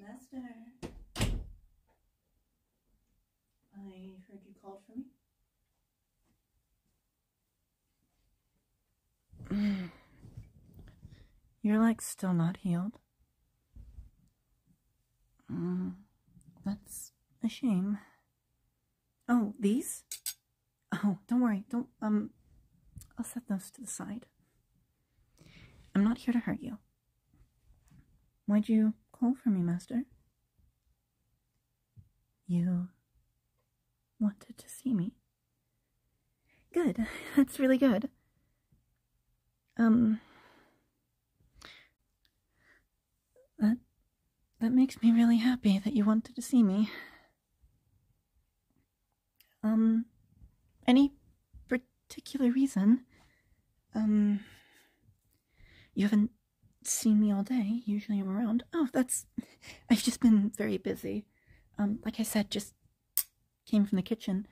Master, I heard you called for me. Your leg's still not healed. Mm, that's a shame. Oh, these? Oh, don't worry. Don't, um, I'll set those to the side. I'm not here to hurt you. Why'd you call for me, Master? You wanted to see me. Good. That's really good. Um, that, that makes me really happy that you wanted to see me. Um, any particular reason? Um, you haven't seen me all day. Usually I'm around. Oh, that's. I've just been very busy. Um, like I said, just came from the kitchen.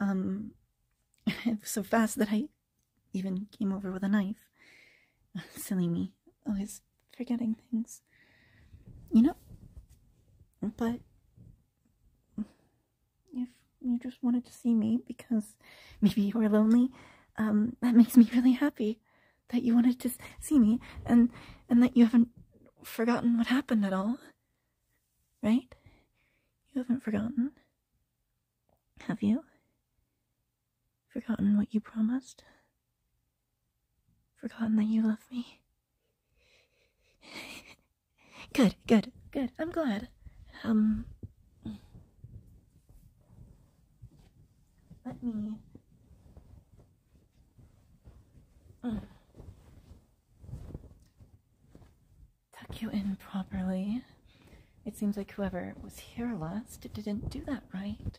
Um, so fast that I even came over with a knife. Silly me always forgetting things. You know? But if you just wanted to see me because maybe you were lonely, um, that makes me really happy that you wanted to see me and and that you haven't forgotten what happened at all. Right? You haven't forgotten. Have you? Forgotten what you promised? Forgotten that you love me. good, good, good. I'm glad. Um. Let me. Mm. Tuck you in properly. It seems like whoever was here last didn't do that right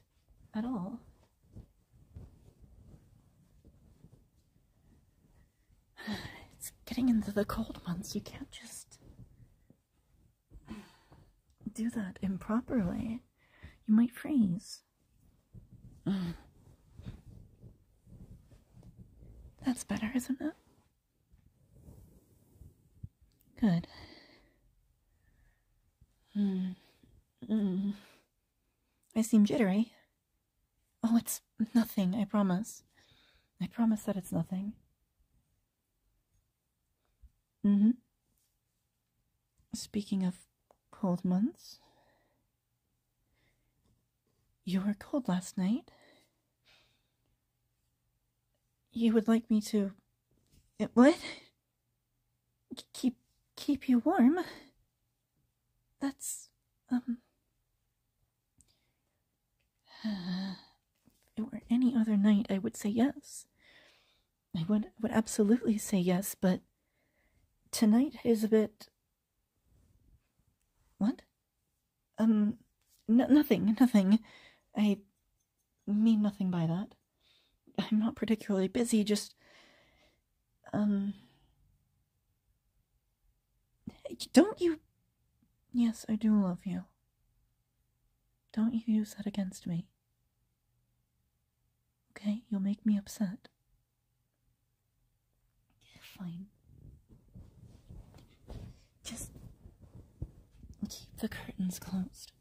at all. It's getting into the cold months. You can't just do that improperly. You might freeze. That's better, isn't it? Good. Hmm. Mm. I seem jittery. Oh, it's nothing, I promise. I promise that it's nothing. Mm hmm. Speaking of cold months, you were cold last night. You would like me to. It, eh, would keep keep you warm. That's um it were any other night I would say yes. I would would absolutely say yes, but tonight is a bit what? Um no, nothing, nothing. I mean nothing by that. I'm not particularly busy, just. Um. Don't you. Yes, I do love you. Don't you use that against me. Okay? You'll make me upset. Fine. Just keep the curtains closed.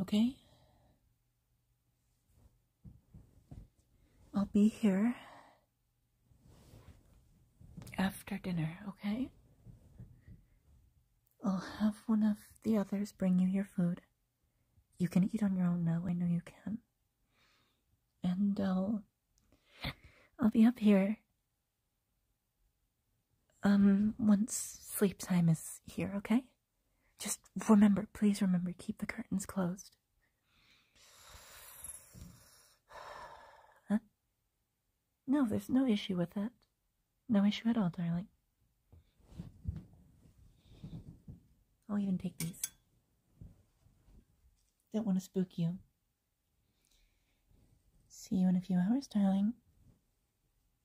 Okay? I'll be here after dinner, okay? I'll have one of the others bring you your food. You can eat on your own now, I know you can. And I'll I'll be up here um, once sleep time is here, okay? Just remember, please remember, keep the curtains closed. Huh? No, there's no issue with that. No issue at all, darling. I'll even take these. Don't want to spook you. See you in a few hours, darling.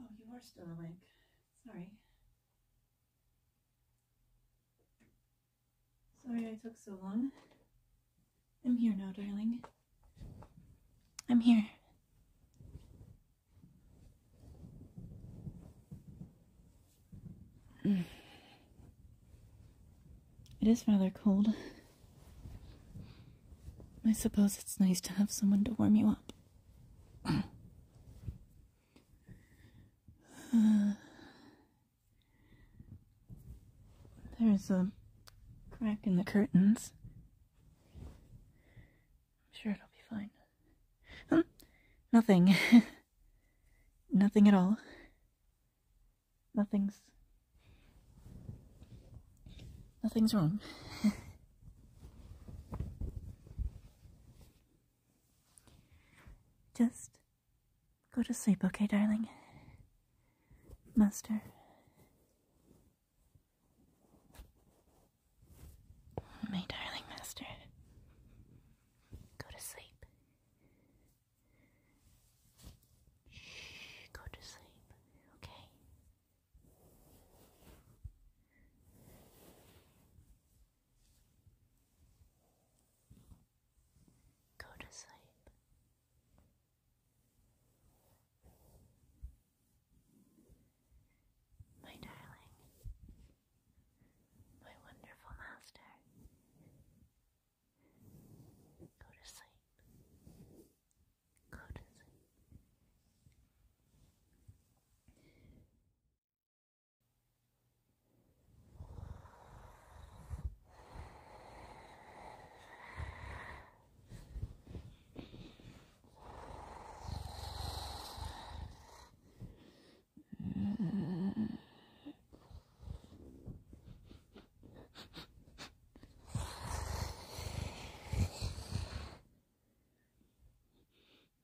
Oh, you are still awake. Sorry. Sorry I took so long. I'm here now, darling. I'm here. It is rather cold. I suppose it's nice to have someone to warm you up. there's a crack in the curtains. I'm sure it'll be fine. Nothing. Nothing at all. Nothing's. Nothing's wrong. Just go to sleep, okay, darling? Master. My darling master, go to sleep. Shh, go to sleep, okay? Go to sleep. My darling, my wonderful master, go to sleep. Go to sleep. Mm-hmm.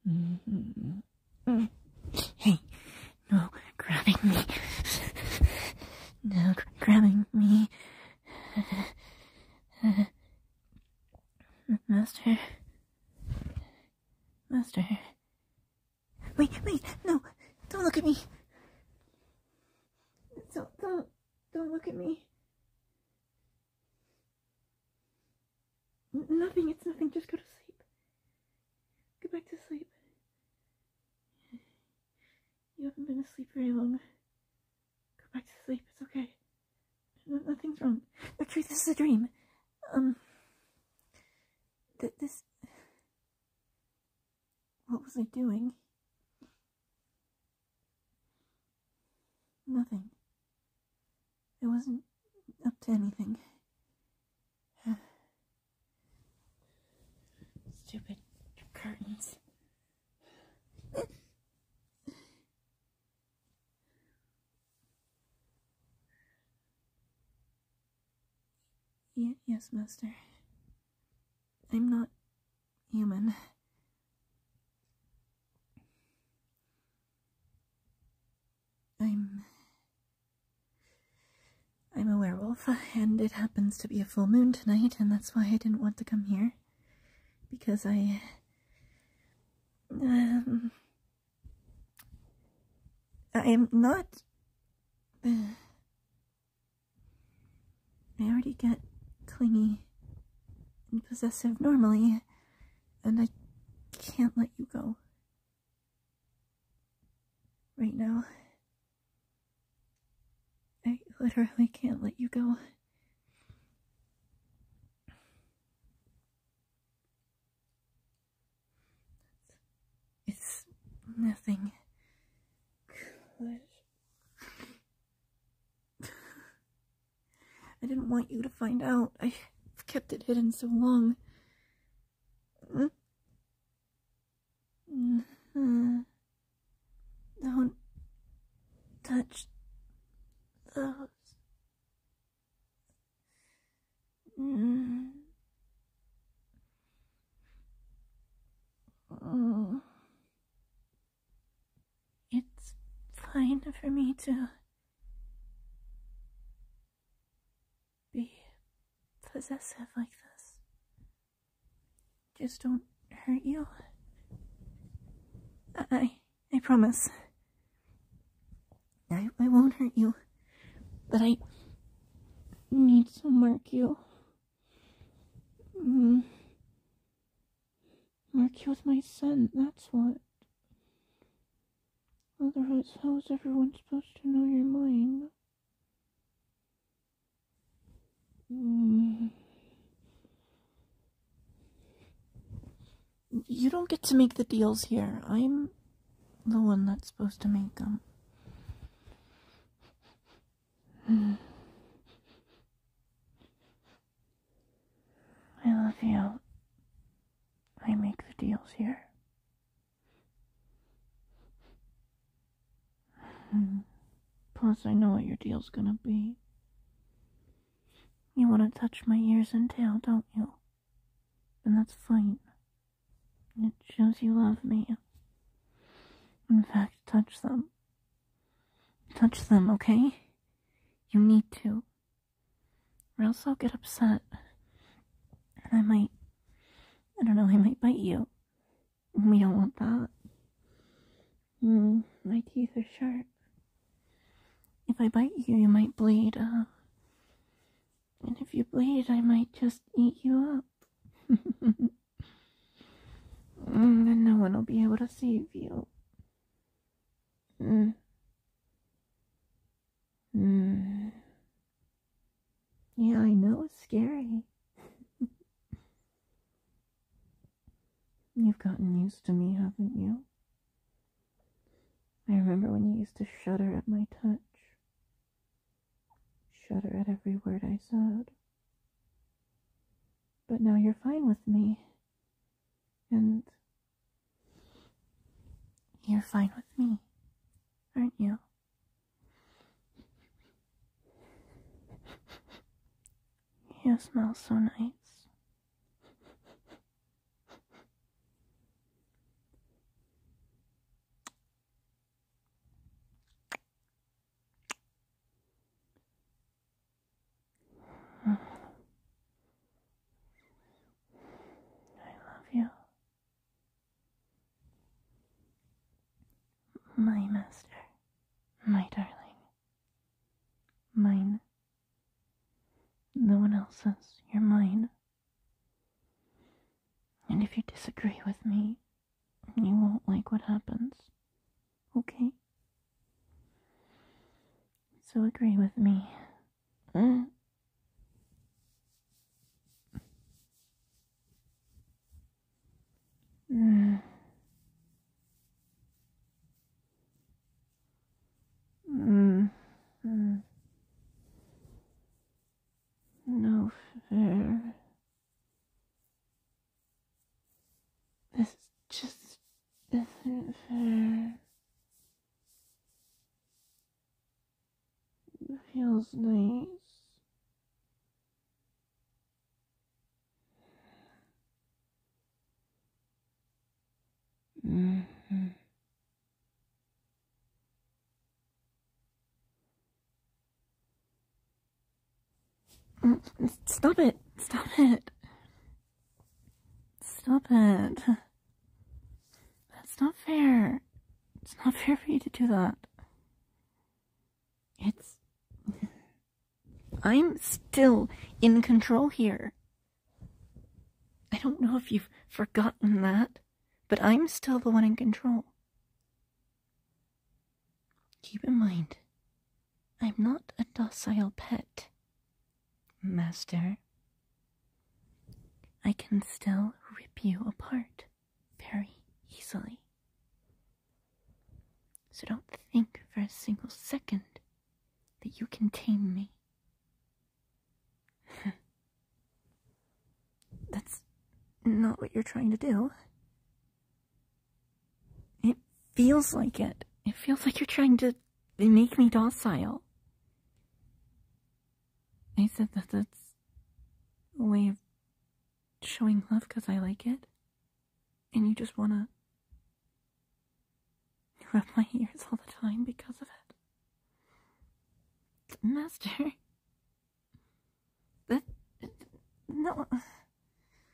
Mm-hmm. Mm-hmm. Hey, no grabbing me no grabbing me. Master. Master. Wait, wait, no! Don't look at me! Don't, don't, don't look at me. nothing, it's nothing, just go to sleep. Go back to sleep. You haven't been asleep very long. Go back to sleep, it's okay. nothing's wrong. Actually, this is a dream. Um. Th this. What was I doing? Nothing. It wasn't up to anything. Stupid curtains. yes, Master. I'm not human. I'm I'm a werewolf, and it happens to be a full moon tonight, and that's why I didn't want to come here. Because I. Um, I am not. I already get clingy and possessive normally, and I can't let you go. Right now, I literally can't let you go. It's nothing. I didn't want you to find out. i kept it hidden so long. Mm-hmm. Don't touch those. Mm-hmm. It's fine for me to be possessive like this. Just don't hurt you. I, I promise. I, I won't hurt you, but I need to mark you. Mark mm. you with my son, that's what. Otherwise, how is everyone supposed to know you're mine? Mm. You don't get to make the deals here. I'm the one that's supposed to make them. Mm. I love you. I make the deals here. Plus, I know what your deal's gonna be. You wanna touch my ears and tail, don't you? And that's fine. It shows you love me. In fact, touch them. Touch them, okay? You need to. Or else I'll get upset. And I might I don't know, I might bite you. We don't want that. Hmm, my teeth are sharp. If I bite you, you might bleed. Uh, and if you bleed, I might just eat you up. and hmm, no one will be able to save you. Mm. Mm. Yeah, I know it's scary. You've gotten used to me, haven't you? I remember when you used to shudder at my touch, shudder at every word I said. But now you're fine with me, and you're fine with me, aren't you? You smell so nice. I love you. My master, my darling, mine. No one else's, you're mine. And if you disagree with me, you won't like what happens, okay? So agree with me Mm. Mm. Mm. mm. No fair. This just isn't fair. It feels nice. Mm-hmm. Mm, stop it. Stop it. Stop it. That's not fair. It's not fair for you to do that. It's. I'm still in control here. I don't know if you've forgotten that, but I'm still the one in control. Keep in mind, I'm not a docile pet. Master, I can still rip you apart very easily. So don't think for a single second that you can tame me. That's not what you're trying to do. It feels like it. It feels like you're trying to they make me docile. I said that that's a way of showing love because I like it. And you just want to rub my ears all the time because of it. Master. That. No.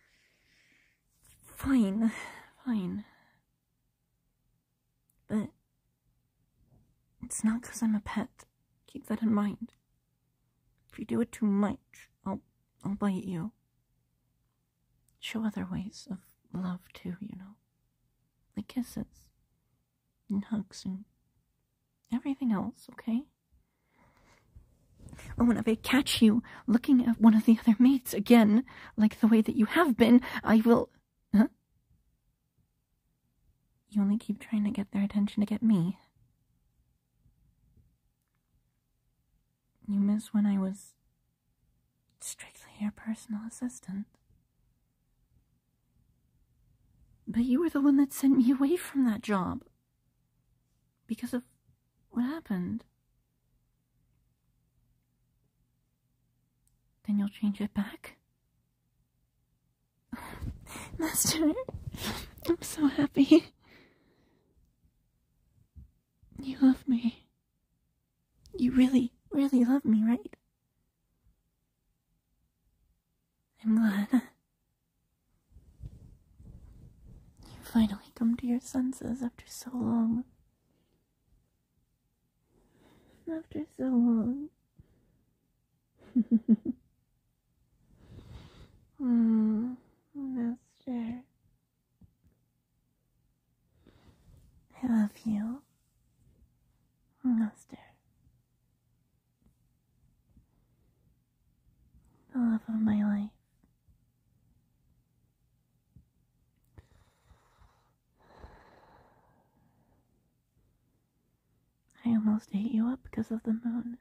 Fine. Fine. But it's not because I'm a pet. Keep that in mind. If you do it too much, I'll, I'll bite you. Show other ways of love too, you know. Like kisses and hugs and everything else, okay? Or oh, whenever if I catch you looking at one of the other mates again, like the way that you have been, I will. You only keep trying to get their attention to get me. You miss when I was strictly your personal assistant. But you were the one that sent me away from that job. Because of what happened. Then you'll change it back? Master, I'm so happy. You love me. You really, really love me, right? I'm glad. You finally come to your senses after so long. After so long. mm, oh, Master. I love you, Master. The love of my life. I almost ate you up because of the moon.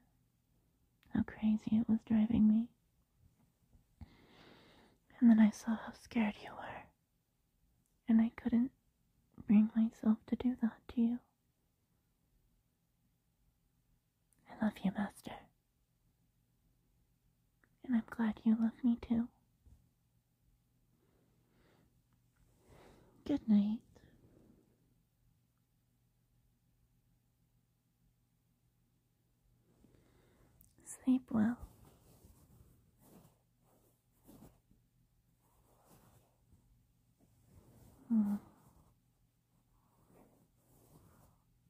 How crazy it was driving me. And then I saw how scared you were. And I couldn't bring myself to do that to you. I love you, Master. And I'm glad you love me too. Good night. Sleep well. Hmm.